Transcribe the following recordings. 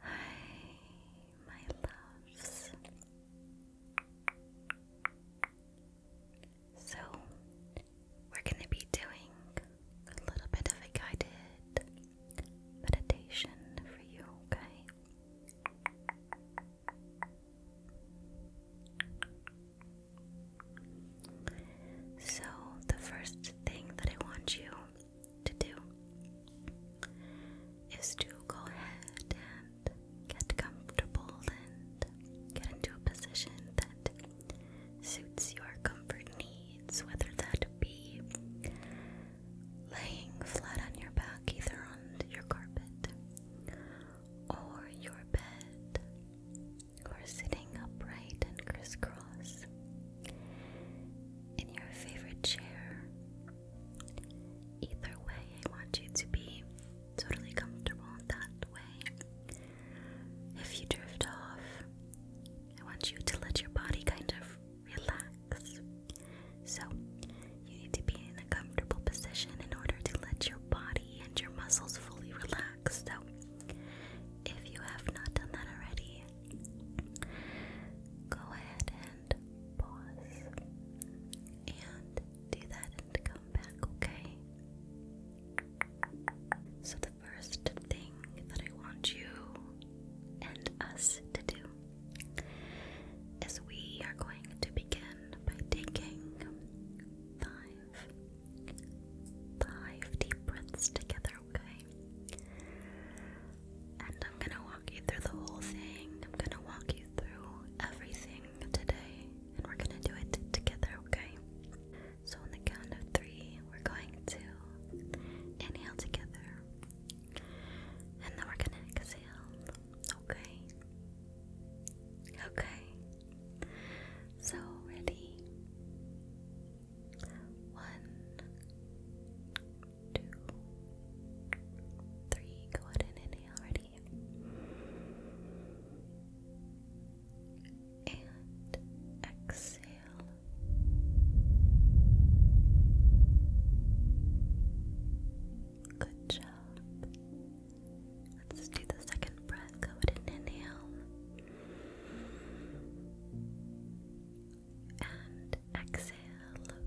Hi, my loves. So, we're going to be doing a little bit of a guided meditation for you, okay? So, the first thing that I want you to do is to go ahead and get comfortable and get into a position that suits your comfort needs, whether that be laying flat on your back, either on your carpet or your bed, or sitting upright and crisscross in your favorite chair. Either way, I want you to be totally comfortable that way. If you drift off, I want you to let your body kind of relax. So, you need to be in a comfortable position in order to let your body and your muscles fully relax. So, if you have not done that already, go ahead and pause and do that and come back, okay? So, the first thing that I want you and us to do is we are going to begin by taking five, five deep breaths together, okay? And I'm going to walk you through the whole thing. I'm going to walk you through everything today. And we're going to do it together, okay? So, on the count of three, we're going to inhale together. And then we're going to exhale, okay? Okay. So, ready? One, two, three. Go ahead and inhale already. And exhale. Good job. Let's do the second breath. Go ahead and inhale and exhale.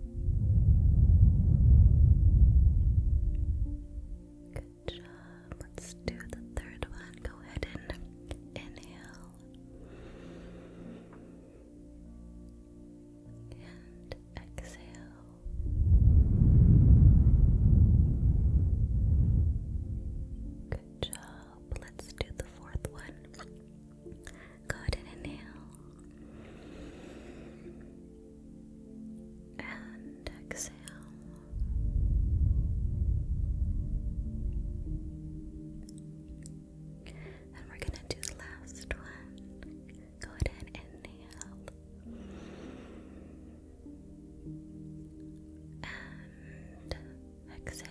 Good job. Let's do the third one. Go ahead and inhale and exhale. Good job. Let's do the fourth one. Go ahead and inhale and exhale. And we're gonna do the last one. Go ahead and inhale. And Exhale.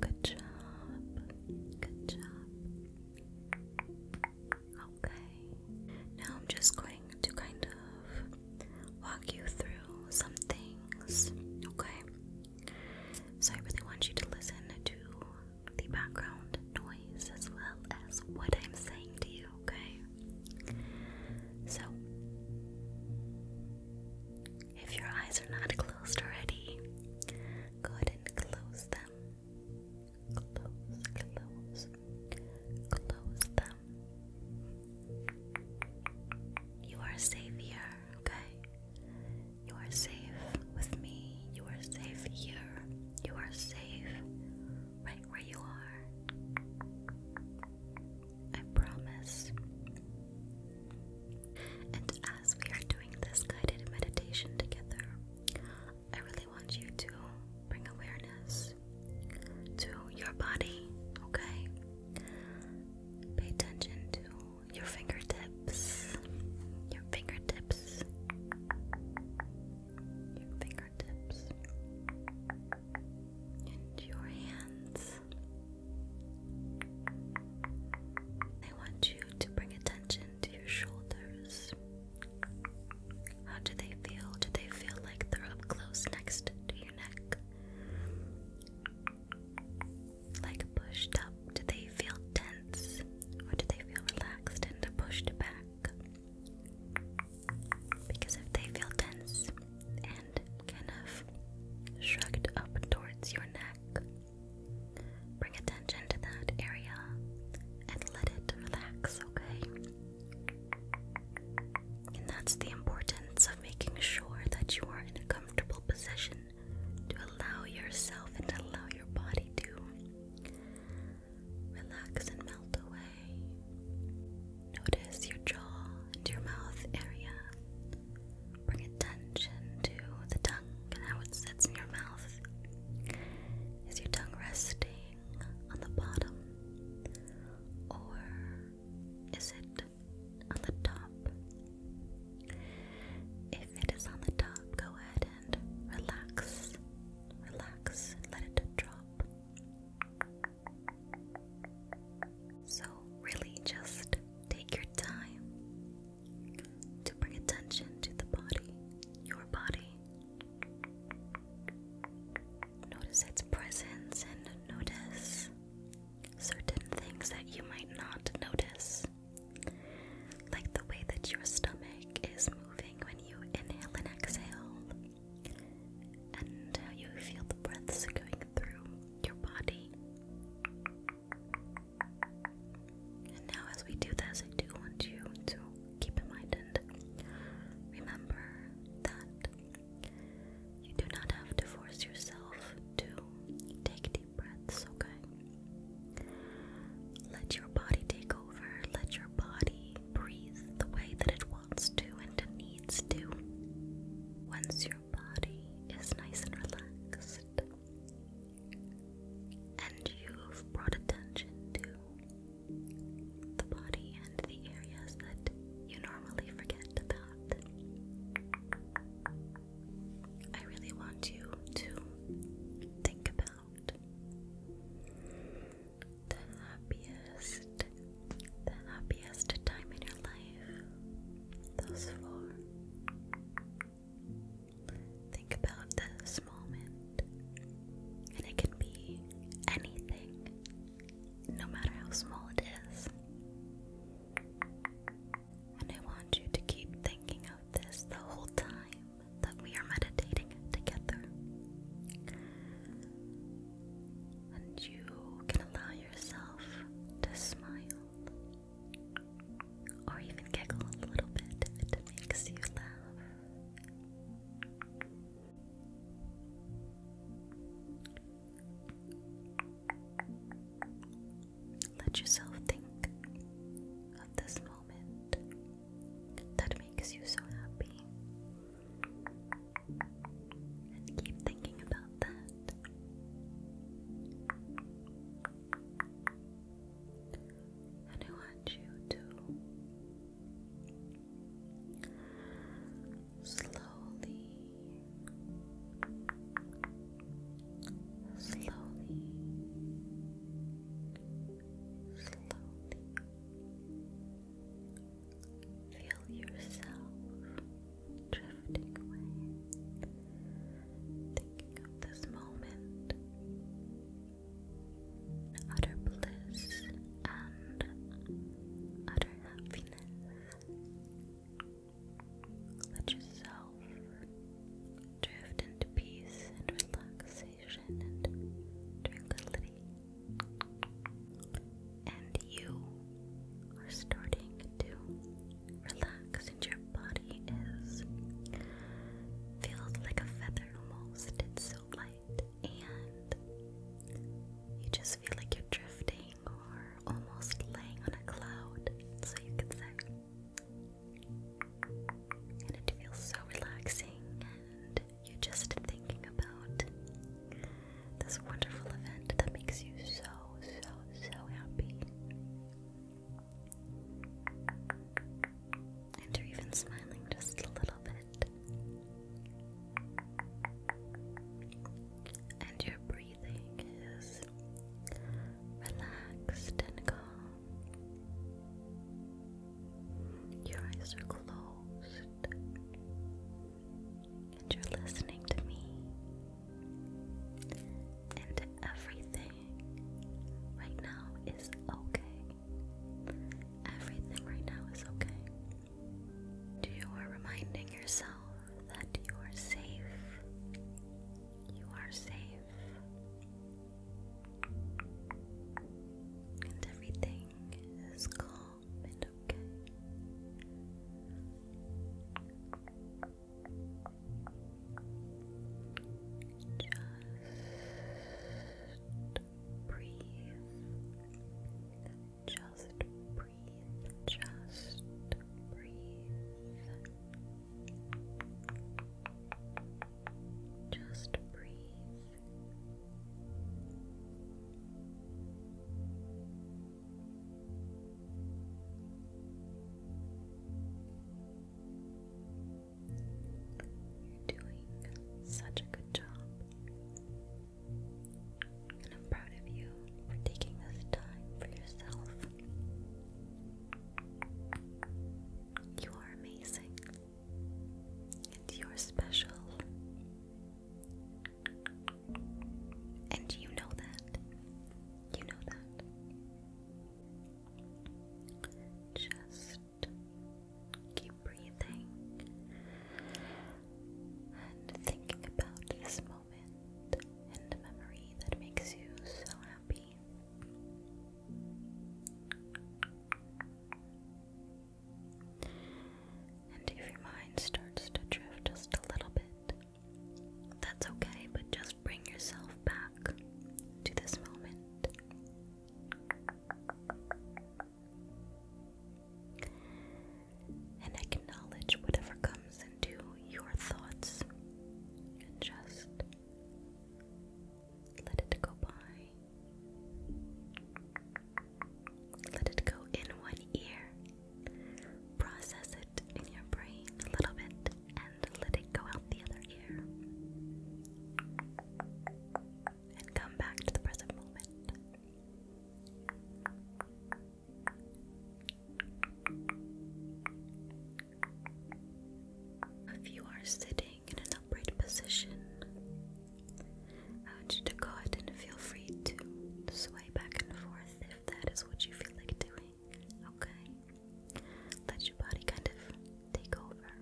Good job. Good job. Okay. Now I'm just going to kind of walk you through some things. Okay. So I really want you to listen to the background noise as well as what I'm saying to you okay? So, if your eyes are not closed already, go ahead and close them. Close, close, close them. You are safe here, okay? You are safe with me. You are safe here. You are safe right where you are. I promise. And as we are doing this guided meditation together, I really want you to bring awareness to your body, okay? Pay attention to your fingertips, your fingertips, fingertips and your hands. I want you to bring attention to your shoulders. How do they feel? Do they feel like they're up close next to your neck? Like pushed up? Do they feel tense? Or do they feel relaxed and pushed back? Because if they feel tense and kind of shrugged up towards your neck, bring attention to that area and let it relax, okay? And that's the importance of making sure that you are in a comfortable position to allow yourself and allow your body to relax and melt away. Notice your jaw and your mouth area. Bring attention to the tongue and how it sits in your mouth. Is your tongue resting on the bottom? Or is it on the top? If it is on the top, go ahead and relax. Relax and let it drop. So, really, just take your time to bring attention to the body, your body. Notice its presence and notice certain things that you might not notice, like the way that your stomach is moving when you inhale and exhale, and how you feel the breaths going through your body. And now, as we do this, I do want you to keep in mind and remember that you do not have to force yourself to take deep breaths, okay? Let your body take over, let your body breathe the way that it wants to and it needs to. Once your body is nice and relaxed, and you've brought attention to the body and the areas that you normally forget about, I really want you to think about the happiest, the happiest time in your life. Those four. Think about this moment, and it can be anything, no matter how small it is. And I want you to keep thinking of this the whole time that we are meditating together and you can allow yourself to smile or even giggle a little bit it makes you laugh. Let yourself think of this moment that makes you so happy and keep thinking about that. And I want you to slowly, slowly, slowly. Feel yourself drifting away, thinking of this moment, utter bliss and utter happiness. Let yourself drift into peace and relax and tranquility. And you are starting to relax, and your body is feels like a feather almost. It's so light, and you just feel like you're drifting or almost laying on a cloud, so you could say. And it feels so relaxing and you're just thinking about this wonderful event that makes you so, so, so happy. And you're even smiling just a little bit. And your breathing is relaxed and calm. Your eyes are closed, and you're listening to me and everything right now is okay. Everything right now is okay. You are reminding yourself that you are safe. You are safe. And everything just breathe. Just breathe. Just breathe. Just breathe. You're doing such a good job. And I'm proud of you for taking this time for yourself. You are amazing. And you're special. And you know that. You know that. Just keep breathing and thinking about this moment and the memory that makes you so happy. And if your mind starts to drift just a little bit, that's okay, but just bring yourself back to this moment. And acknowledge whatever comes into your thoughts and just let it go by. Let it go in one ear. Process it in your brain a little bit and let it go out the other ear. And come back to the present moment. If you are sitting in an upright position. I want you to go ahead and feel free to sway back and forth if that is what you feel like doing, okay? Let your body kind of take over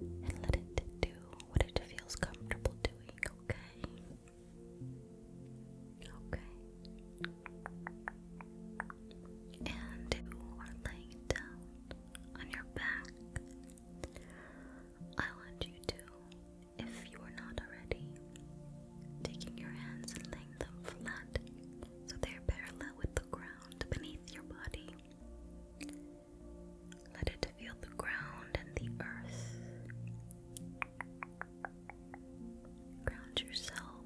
and let it do what it feels comfortable doing, okay? Okay. And you are laying down on your back I want you to, if you are not already, taking your hands and laying them flat so they are parallel with the ground beneath your body. Let it feel the ground and the earth. Ground yourself.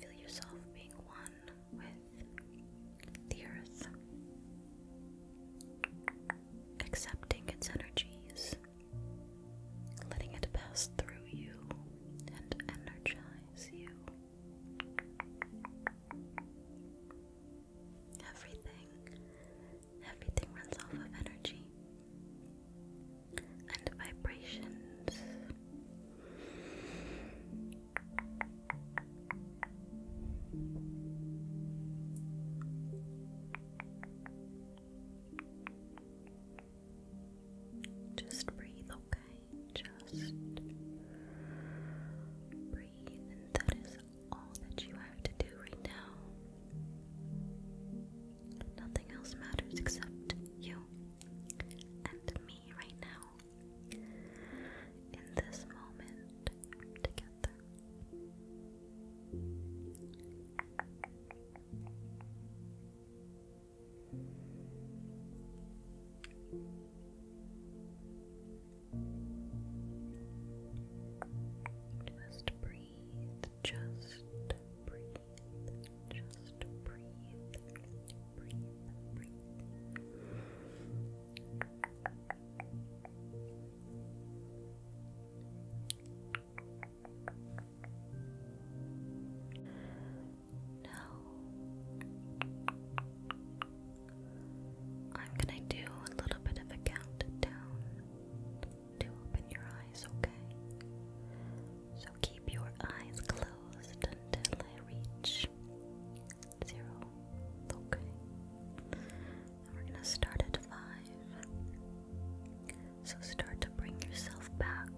Feel yourself being one with the earth, accepting its energies, letting it pass through you and energize you. Everything, everything runs off of energy and vibrations. Just breathe, okay? Just breathe, and that is all that you have to do right now. Nothing else matters except you and me right now, in this moment together. Just breathe, just breathe, just breathe, now, I'm gonna do a little bit of a countdown to open your eyes, okay? So keep your eyes closed until I reach zero. Okay. we're gonna start at five. So start to bring yourself back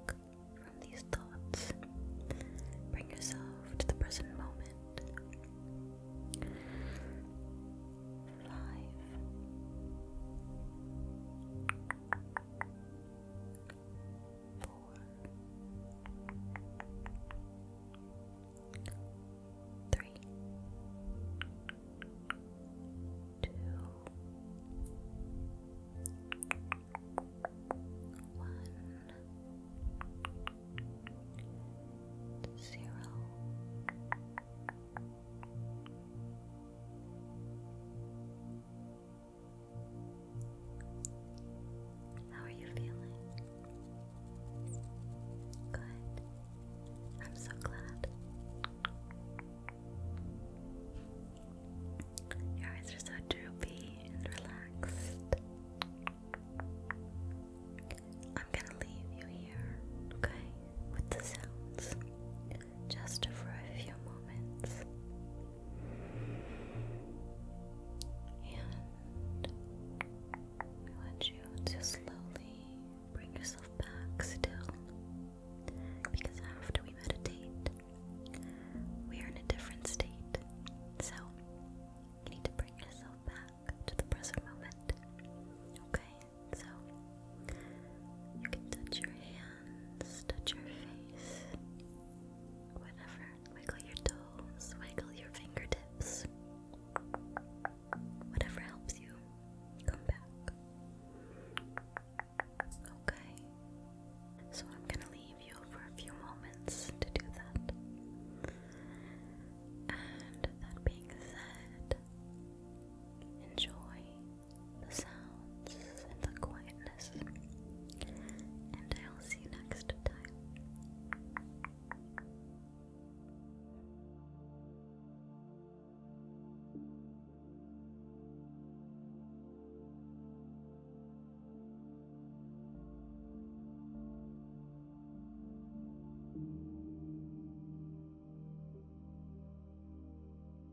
from these thoughts. Bring yourself to the present moment. Five four, three, two, one, zero. Zero how are you feeling? Good. I'm so glad. Your eyes are so droopy and relaxed. I'm gonna leave you here, okay, with the sounds, just for a few moments. And I want you to slowly bring yourself back still. Because after we meditate, we are in a different state. So you need to bring yourself back to the present moment. Okay? So you can touch your hands, touch your face. Whatever. Wiggle your toes, wiggle your fingertips. Whatever helps you come back. Okay. So I'm going to leave you for a few moments to do that. And that being said, enjoy the sound the quietness. And I'll see you next time.